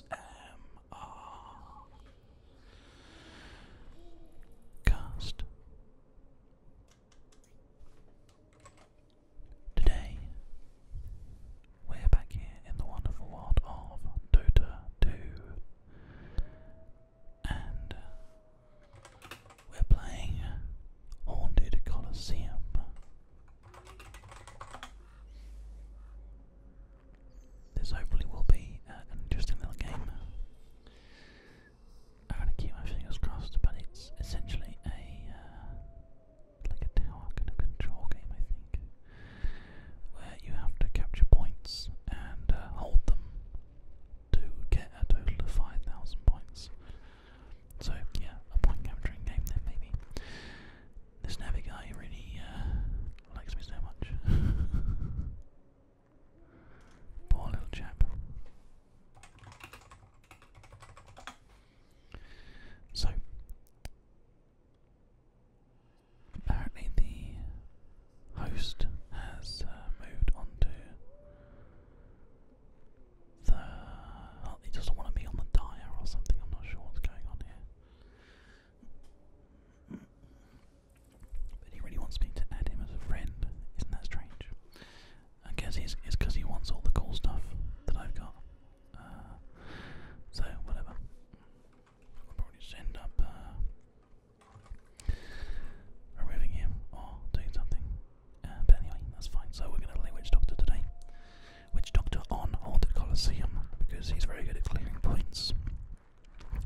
ASMR cast. Today, we're back here in the wonderful world of Dota 2, and uh, we're playing Haunted Colosseum. This hopefully will be uh, an interesting little game. I'm going to keep my fingers crossed, but it's essentially a uh, like a tower kind of control game, I think, where you have to capture points and uh, hold them to get a total of five thousand points. So yeah, a point capturing game then maybe. This navy guy really uh, likes me so much. Poor little chap. So, apparently the host has uh, moved on the. he doesn't want to be on the dire or something. I'm not sure what's going on here. But he really wants me to add him as a friend. Isn't that strange? I guess it's because he wants all the cool stuff that I've got. Uh, so, whatever. I'll probably just end up uh, removing him or doing something. Uh, but anyway, that's fine. So, we're going to play Witch Doctor today which Doctor On haunted Colosseum because he's very good at clearing points.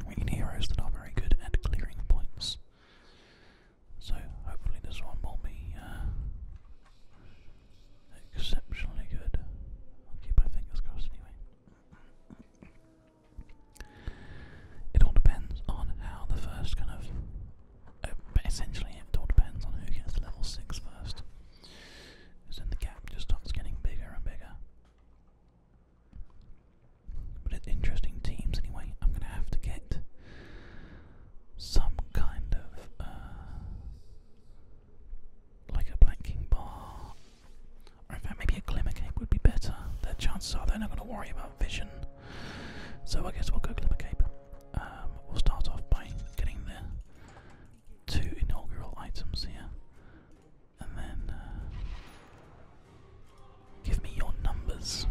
We need heroes that are very good at clearing points. So hopefully this one will be uh, exceptionally good. I'll keep my fingers crossed anyway. It all depends on how the first kind of. Uh, essentially, it all depends on who gets level 6 is then the gap just starts getting bigger and bigger. But it's interesting teams anyway. I'm going to have to get some kind of uh, like a blanking bar, or in fact, maybe a glimmer cape would be better. Their chances are they're not going to worry about vision, so I guess we'll go glimmer cape. Um, we'll start off by getting the two inaugural items here. And then uh, give me your numbers.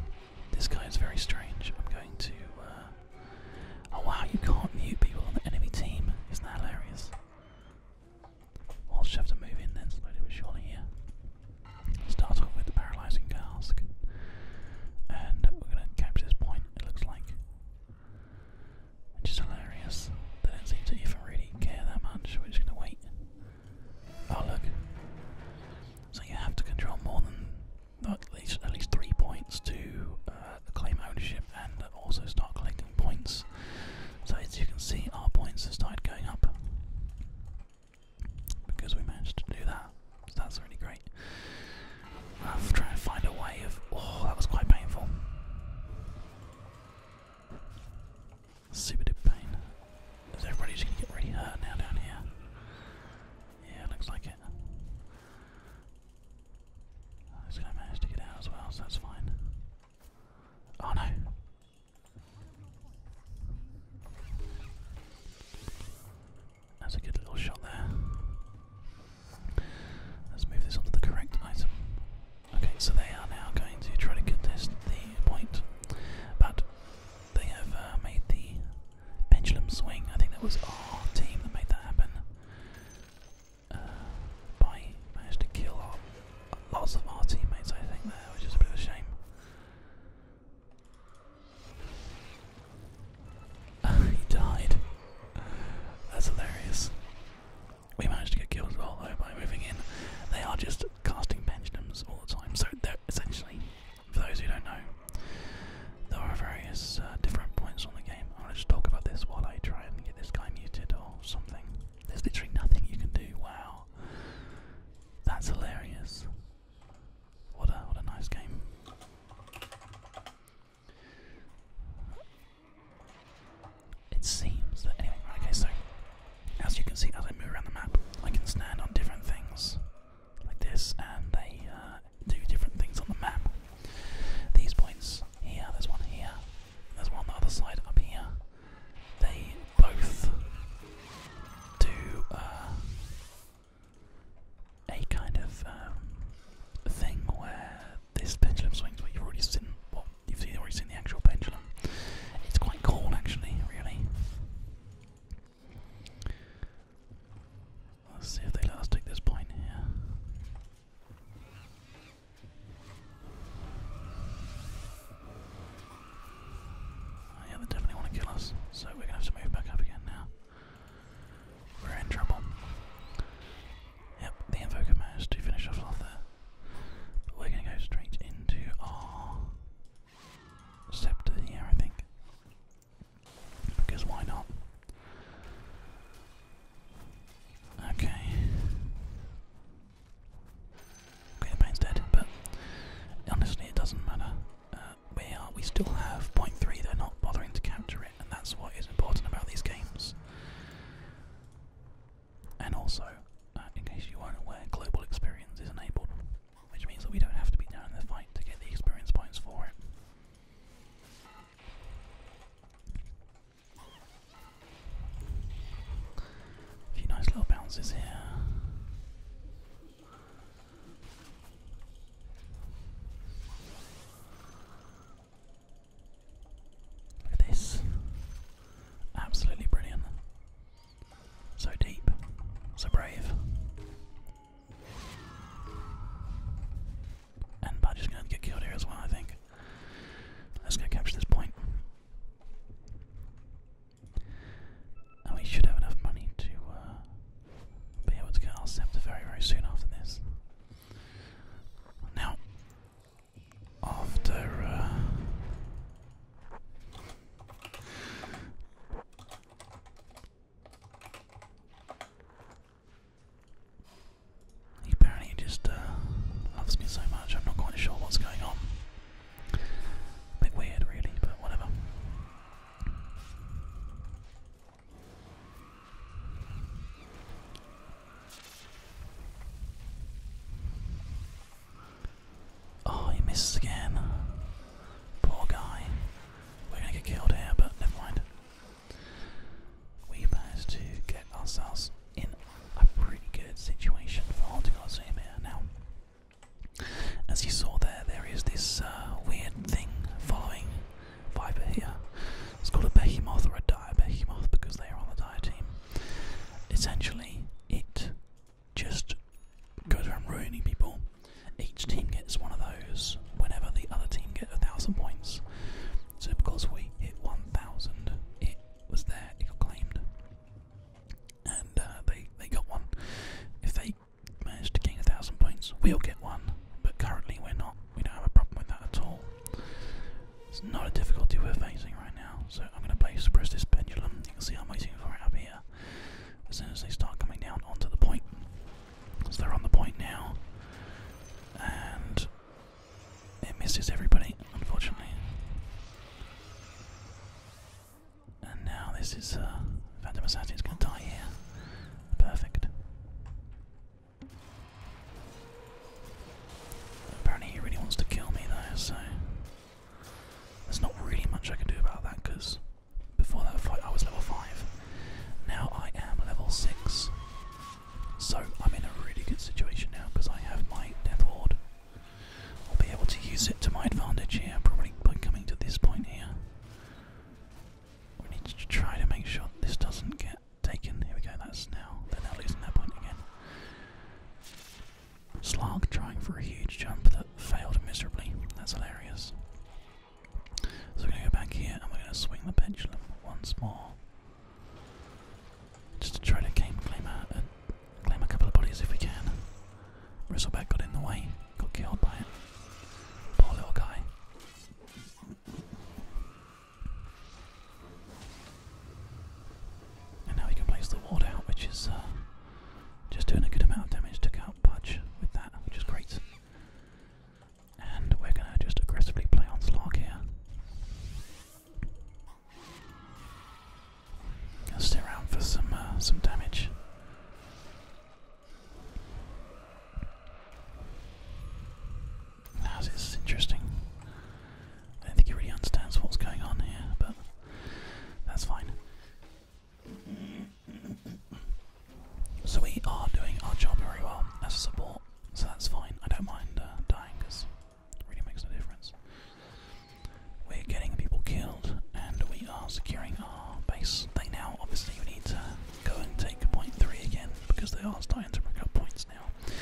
This guy is very strange. I'm going to. Uh, oh wow, you can't mute people on the enemy team. Isn't that hilarious? I'll just have to move in then slowly but surely here. Start off with the paralyzing cask. And we're going to capture this point, it looks like. Which is hilarious. They don't seem to even really care that much. We're just gonna wait. Oh look. So you have to control more than at least at least three points to uh, claim ownership and also start collecting points. So as you can see, our points have started going up because we managed to do that. So that's really great of trying to find a way of. Oh, that was quite painful. Super pain. Is everybody just gonna get really hurt now down here? Yeah, looks like it. This managed to get out as well, so that's fine. Oh no! That's a good little shot there. Let's move this onto the correct item. Okay, so they are now going to try to contest the point, but they have uh, made the pendulum swing. I think that was our team that made that happen. Uh, by managed to kill our, lots of our teammates, I think, there, which is a bit of a shame. he died. That's hilarious. We managed to get killed as by moving in. They are just casting pendulums all the time, so they're essentially, for those who don't know, there are various uh, different points on the game. I'm gonna just talk about this while I try and get this guy muted or something. There's literally nothing you can do. Wow, that's hilarious. What a what a nice game. It seems that anyway, okay, so as you can see as I move around the map, I can stand on different things like this and they uh, do different things on the map. These points here, there's one here, there's one on the other side up here. They both do uh, a kind of um, thing where this pendulum swings but you've already seen well, you've already seen the actual pendulum. It's quite cool actually, really. Let's see if they let us this point here. Oh, yeah, they definitely want to kill us, so we're gonna have to move back up again now. We're in trouble. Yep, the invoker managed to finish off there. we're going to go straight into our scepter here, I think. Because why not? Okay. Okay, dead, but honestly, it doesn't matter. Uh, we are. We still have point three. They're not bothering to capture and that's what is important about these games. And also, uh, in case you weren't aware, global experience is enabled, which means that we don't have to be down in the fight to get the experience points for it. A few nice little bounces here. Look at this. Absolutely brilliant. So deep. So brave. And Budge is going to get killed here as well, I think. Let's go capture this point. And we should have enough money to uh, be able to get our scepter very, very soon after this. Now, after uh, he just uh, loves me so much. I'm not quite sure what's going on. A bit weird, really, but whatever. Oh, he misses again. Poor guy. We're gonna get killed here, but never mind. We managed to get ourselves in a pretty good situation for holding our zoom here now. As you saw there, there is this uh, weird thing following fiber here. It's called a behemoth or a dire because they are on the dire team. Essentially, it just goes around ruining people. Each team gets one of those whenever the other team gets a thousand points. So because we hit 1,000, it was there, it got claimed. And uh, they, they got one. If they manage to gain a thousand points, we'll get one. But currently we're not we don't have a problem with that at all. It's not a difficulty we're facing right now, so I'm going to place press this pendulum. You can see I'm waiting for it up here. As soon as they start coming down onto the point, because they're on the point now, and it misses everybody, unfortunately. And now this is uh, Phantom Assassin's going to die here. Perfect. Apparently he really wants to kill me though, so there's not really much I can do about that because before that fight I was level 5. Now I am level 6. So I'm in a really good situation now because I have my Death Ward. I'll be able to use it to my advantage here, probably by coming to this point here. We need to try to make sure this doesn't get taken. Here we go, that's now. They're now losing that point again. Slark trying for a huge jump that failed miserably. That's hilarious. So we're going to go back here and we're going to swing the pendulum once more. Just to try to claim, claim, a, couple of bodies if we can. Bristleback got in the way, got killed by it. Poor little guy. And now we can place the ward out, which is uh, just doing a good amount of damage. to out Pudge with that, which is great. And we're going to just aggressively play on Slark here. i stay around for some uh, some damage this is interesting. I don't think he really understands what's going on here, but that's fine. So we are doing our job very well as support, so that's fine. I don't mind uh, dying because it really makes no difference. We're getting people killed and we are securing our base. They now obviously need to go and take point three again because they are starting to pick up points now.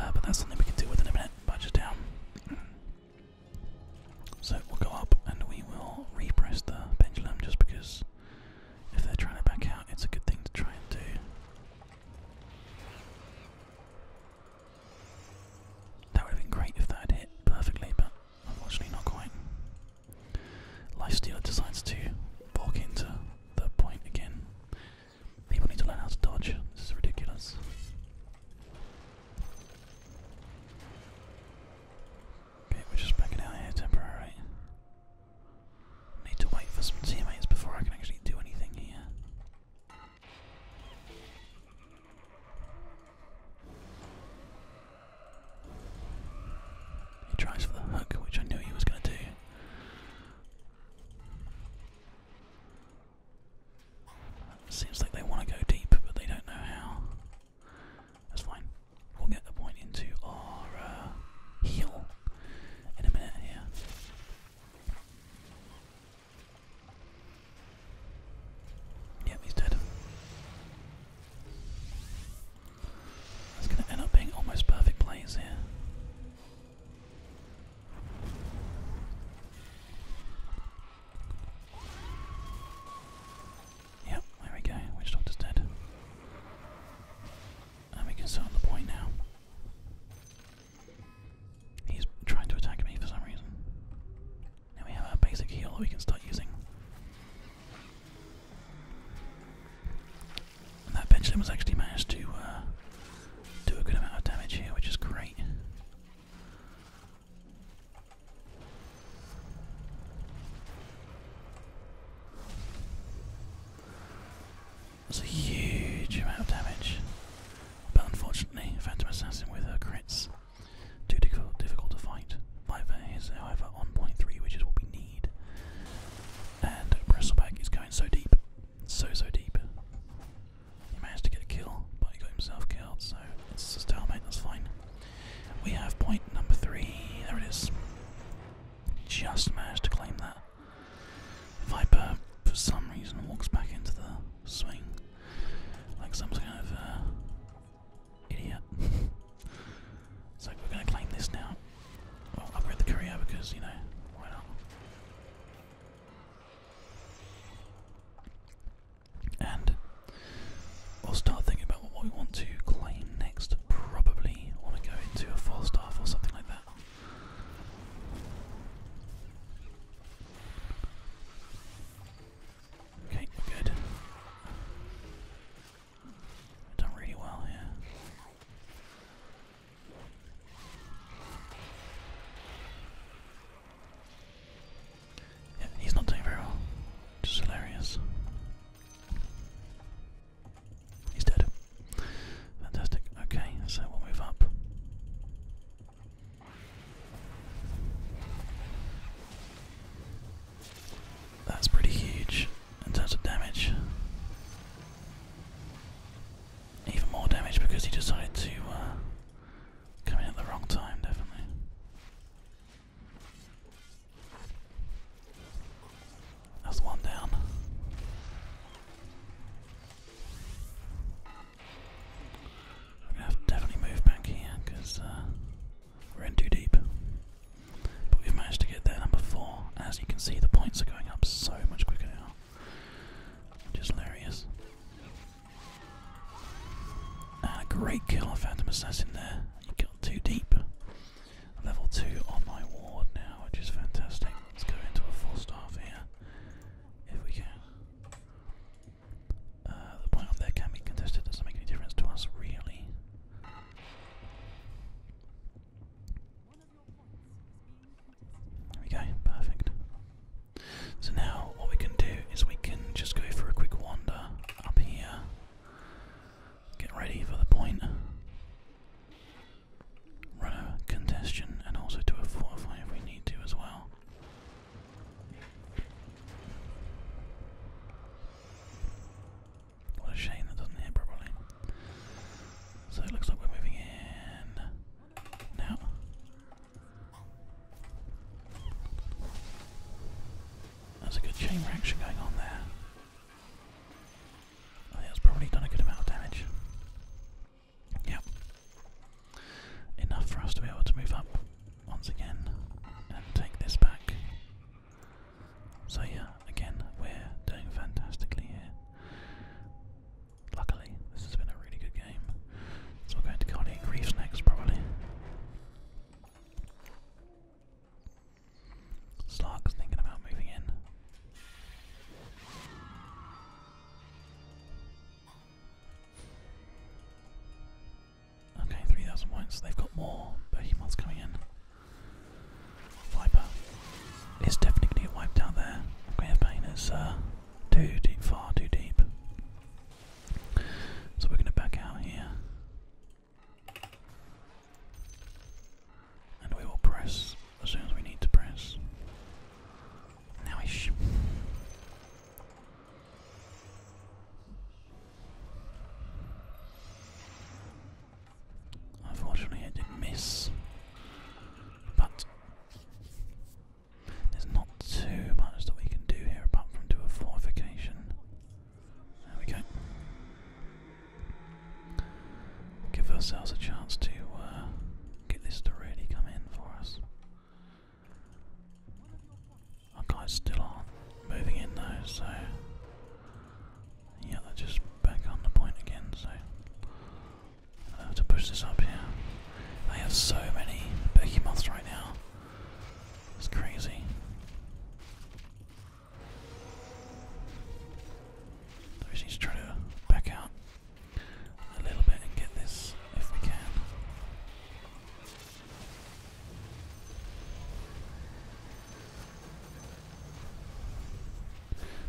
Uh, but that's something we can deal with a minute. Badger's down. So we'll go up and we will repress the pendulum just because if they're trying to back out, it's a good thing to try and do. That would have been great if that hit perfectly, but unfortunately not quite. Lifestealer decides to walk into the point again. People need to learn how to dodge. This is ridiculous. Okay, we're just backing out here temporarily. Need to wait for some teammates before I can actually do anything here. He tries for the hook, which I knew he was going to do. Seems like they want to go deep, but they don't know how. That's fine. We'll get the point into our uh, heel in a minute here. Yep, he's dead. It's going to end up being almost perfect plays here. Yep, there we go. Witch Doctor's dead. And we can sit the point now. He's trying to attack me for some reason. Now we have our basic heal that we can start using that pendulum was actually managed to uh, do a good amount of damage here, which is great. That's a huge amount of damage. But unfortunately, Phantom Assassin with her crits, too difficult, to fight. Viper is, however, on point three, which is what we need and Bristleback is going so deep, so so deep. He managed to get a kill, but he got himself killed, so it's just stalemate, that's fine. We have point number three, there it is. Just managed to claim that. Viper, for some reason, walks back into the swing like some kind of uh, idiot. so we're going to claim this now. Well, upgrade the courier because, you know, And we'll start thinking about what we want to claim next. Probably want to go into a false staff or something like that. Okay, good. Done really well Yeah, he's not doing very well. Just hilarious. He's dead. Fantastic. Okay, so we'll move up. That's pretty huge in terms of damage. Even more damage because he decided to uh, come in at the wrong time, definitely. That's one down. I'm gonna definitely move back here because uh, we're in too deep. But we've managed to get there number four. As you can see, the points are going up so much quicker now, which is hilarious. great kill on Phantom Assassin there. You got too deep. Level two on my ward now, which is fantastic. Let's go into a full staff here, if we can. Uh, the point up there can be contested. Doesn't make any difference to us, really. There we go, perfect. So now what we can do is we can just go for a quick wander up here. Get ready for the point. Run a contestion and also do a 4 fortify if we need to as well. What a shame that doesn't hit properly. So it looks like we're moving in now. There's a good chain reaction going on there. that's probably done a good amount of damage. Yep. Enough for us to be able to move up once again and take this back. So yeah, again, we're doing fantastically here. Luckily, this has been a really good game. So we're going to Cardiac Reefs next, probably. Slark's thinking about moving in. Okay, 3,000 points. They've got more behemoths coming in. Viper is definitely going to get wiped out there. Grave is uh, too deep, far too deep. So we're going to back out here. And we will press as soon as we need to press. Now ish. Unfortunately, I did miss, but there's not too much that we can do here apart from do a fortification. There we go. Give ourselves a chance to uh, get this to really come in for us. Our guys still are moving in though, so yeah, they're just back on the point again, so I uh, have to push this up here. they have so many moths right now. It's crazy. So we just try to back out a little bit and get this if we can.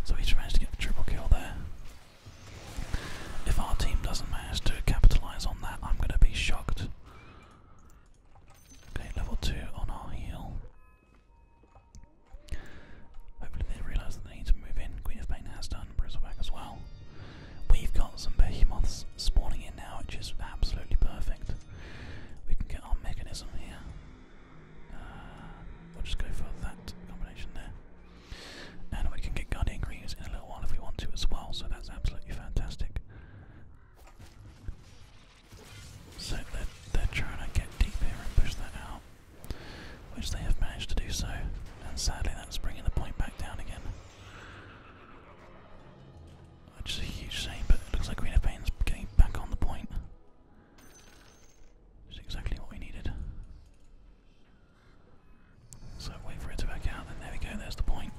So he's managed to get the triple kill there. If our team doesn't manage to capitalise on that, I'm going to be shocked. Okay, level 2 on our heel. Hopefully they realise that they need to move in. Queen of Pain has done, Bristleback as well. We've got some behemoths spawning in now, which is absolutely perfect. We can get our mechanism here. Uh, we'll just go for that combination there. And we can get Guardian Greens in a little while if we want to as well, so that's absolutely fantastic. So they're, trying to get deep here and push that out, which they have managed to do so, and sadly that's bringing the point back down again. Which is a huge shame, but looks like Queen of getting back on the point. Which exactly what we needed. So wait for it to back out, and there we go, there's the point.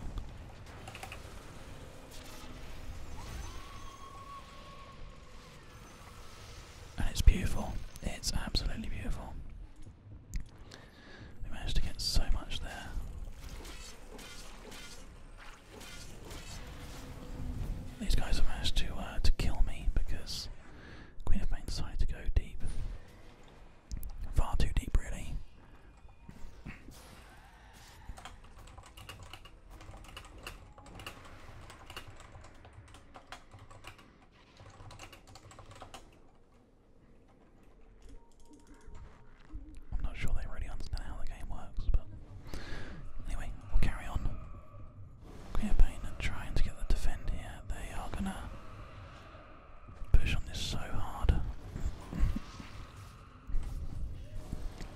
And it's beautiful. It's absolutely beautiful. We managed to get so much there. These guys have managed to uh, to kill me because Queen of Pain decided to go deep, far too deep, really. I'm not sure they really understand how the game works, but anyway, we'll carry on. We're and trying to get the defend here. They are gonna push on this so hard.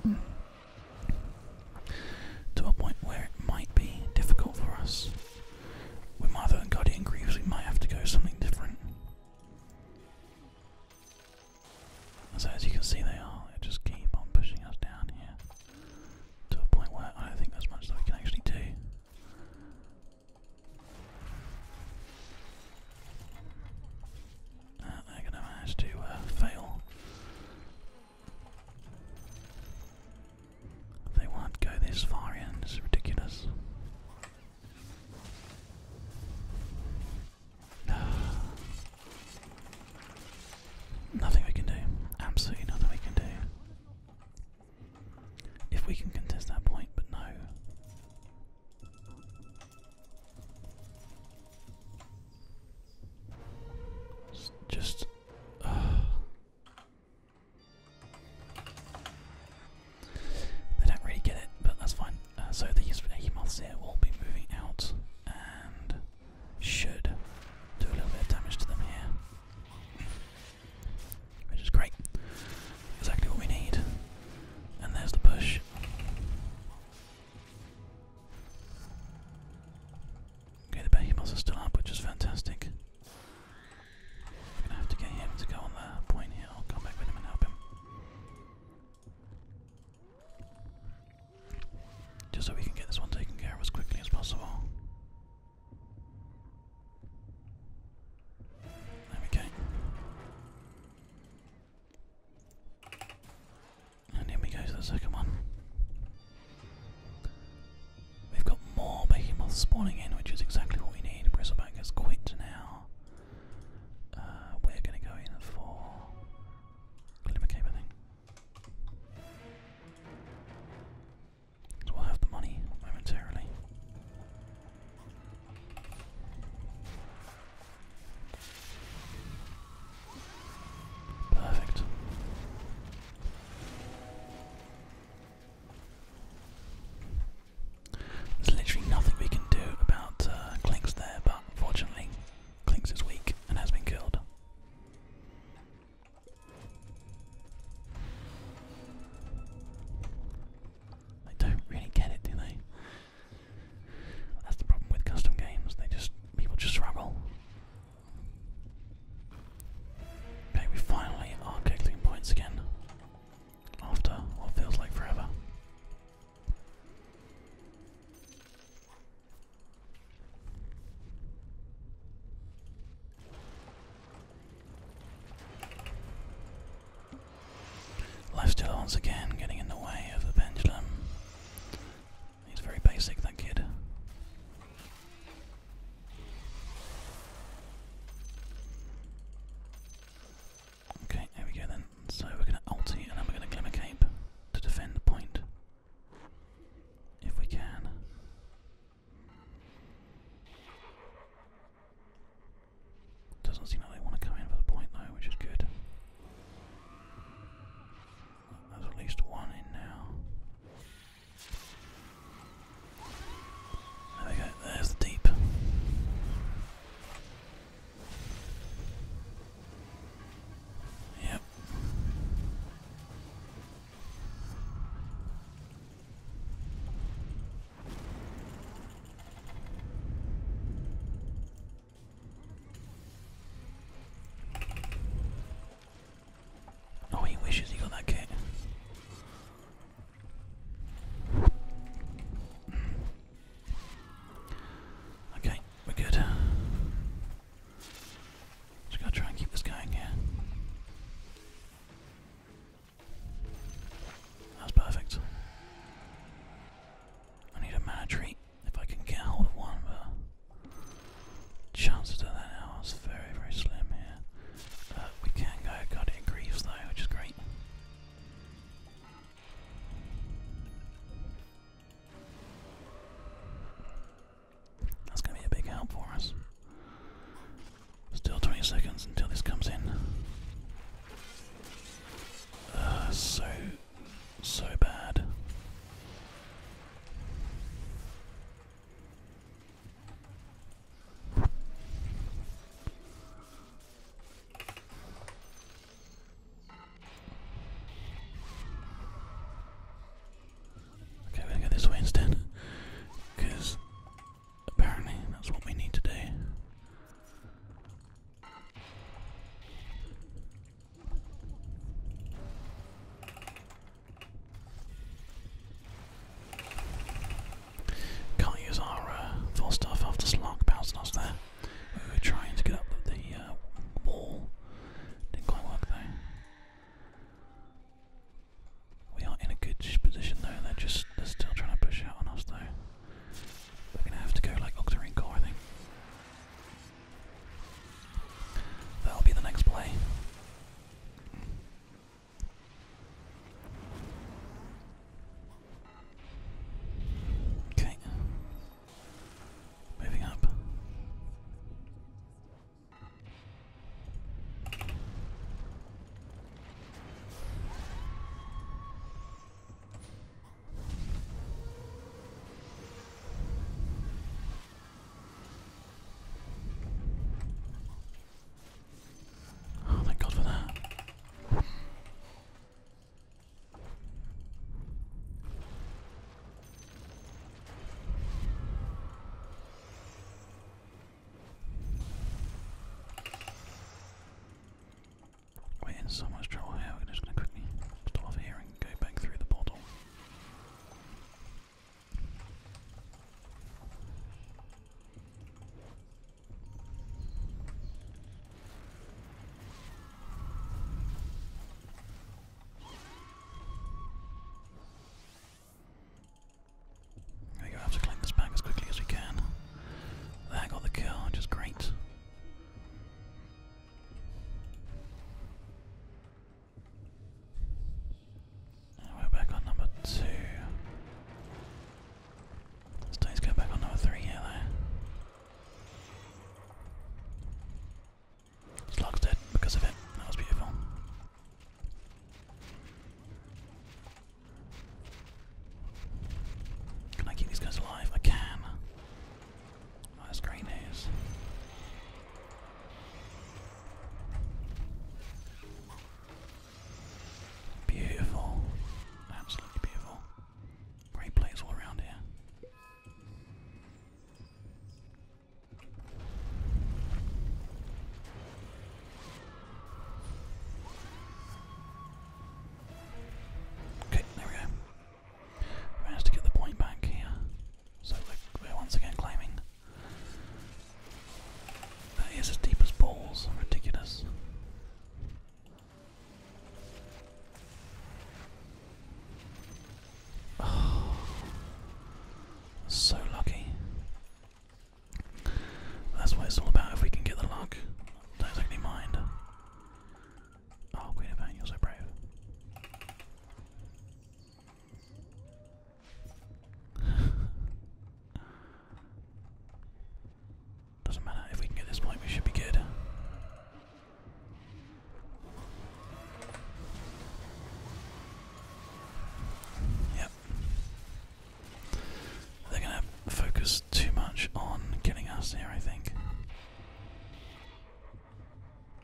to a point where it might be difficult for us. With Martha and Guardian Greaves, we might have to go something different. So as you can see they are, just keep on pushing us down here to a point where I don't think there's much that we can actually do. Uh, they're going to manage to uh, fail. They won't go this far in, it's ridiculous. Nothing we can do. Absolutely nothing we can do. If we can contest that point, but no. just. they don't really get it, but that's fine. Uh, so the Hemoths here will be moving out, and should do a little bit of damage to them here. Which is great. Exactly what we need. And there's the push. Okay, the behemoths are still up, which is fantastic. I'm gonna have to get him to go on the point here. come back with him and help him. Just so we can get this one taken care of as quickly as possible. There we go. And here we go to the second one. We've got more behemoths spawning in, which is exactly what we need. Bristleback has quit now. Uh, we're going to go in for Glimmercape, we'll have the money momentarily. Perfect. There's literally nothing we can do about uh, Clinks there, but fortunately, Clinks is weak and has been killed. I don't really get it, do they? That's the problem with custom games. They just people just struggle. Okay, we finally are collecting points again after what feels like forever. Lefstiller once again getting in the way of the pendulum. He's very basic, that kid. Okay, here we go then. So we're going to ulti and then we going to Glimmer Cape to defend the point if we can. Doesn't seem like want to come in for the point though, which is good. There's at least one in now. There we go, there's the deep. Yep. Oh, he wishes he got that kit. Okay, we're good. Just gotta try and keep this going here. That's perfect. I need a mana tree if I can get hold of one, but chance to that now is very, very slim here. Uh, we can go cut it in though, which is great. That's going to be a big help for us. Still 20 seconds until this comes in. Uh, so, so bad. Okay, we're to go this way instead. Because apparently that's what we need to do. Can't use our uh, full stuff after Slark bouncing us there. We were trying to get up the uh, wall. Didn't quite work though. We are in a good position though. They're just they're still trying to push out on us though. We're gonna have to go like Octarine Core, I think. That'll be the next play. Okay. Moving up. Oh, thank God for that. We're in so much trouble here, we just going to quickly stop here and go back through the portal. There we go, I have to collect this back as quickly as we can. That got the kill, which is great. we're back on number two. Let's go back on number three here, though. Slug's dead because of it. That was beautiful. Can I keep these guys alive? I can. that's great news. Beautiful. Absolutely beautiful. Great plays all around here. Okay, there we go. managed to get the point back here. So we're, once again claiming. That is as deep as balls. Ridiculous. Oh. so lucky. That's what it's all about. If we can get the luck, don't exactly mind. Oh, Queen of you're so brave. Doesn't matter if we can get this point, we should be good. Yep. They're going to focus too much on killing us here, I think.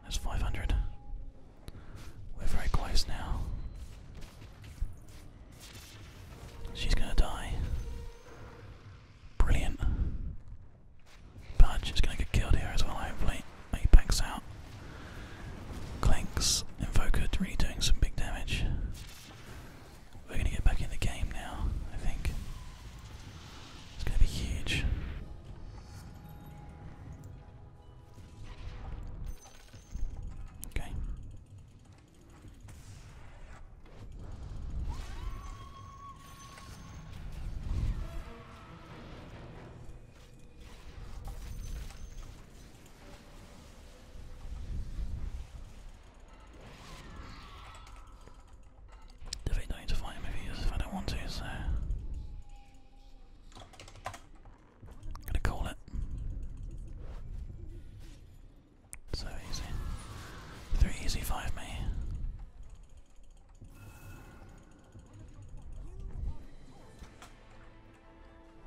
That's 500. We're very close now. She's going to die. Brilliant. Budge is going to get killed here as well, hopefully. He backs out. Clinks, Invoker really doing some big damage. We're going to get back in the game now, I think. It's going to be huge. Okay. Do they not need to fight him if he is if I don't want to, so I'm gonna call it. So easy. Three easy five me.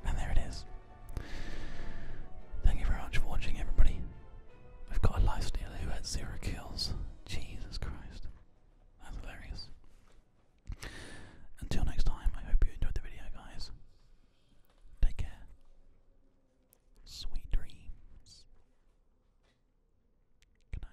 And there it is. Thank you very much for watching, everybody. We've got a lifestealer who had zero kills. Jesus Christ. That's hilarious. Until next time, I hope you enjoyed the video, guys. Take care. Sweet dreams. Good night.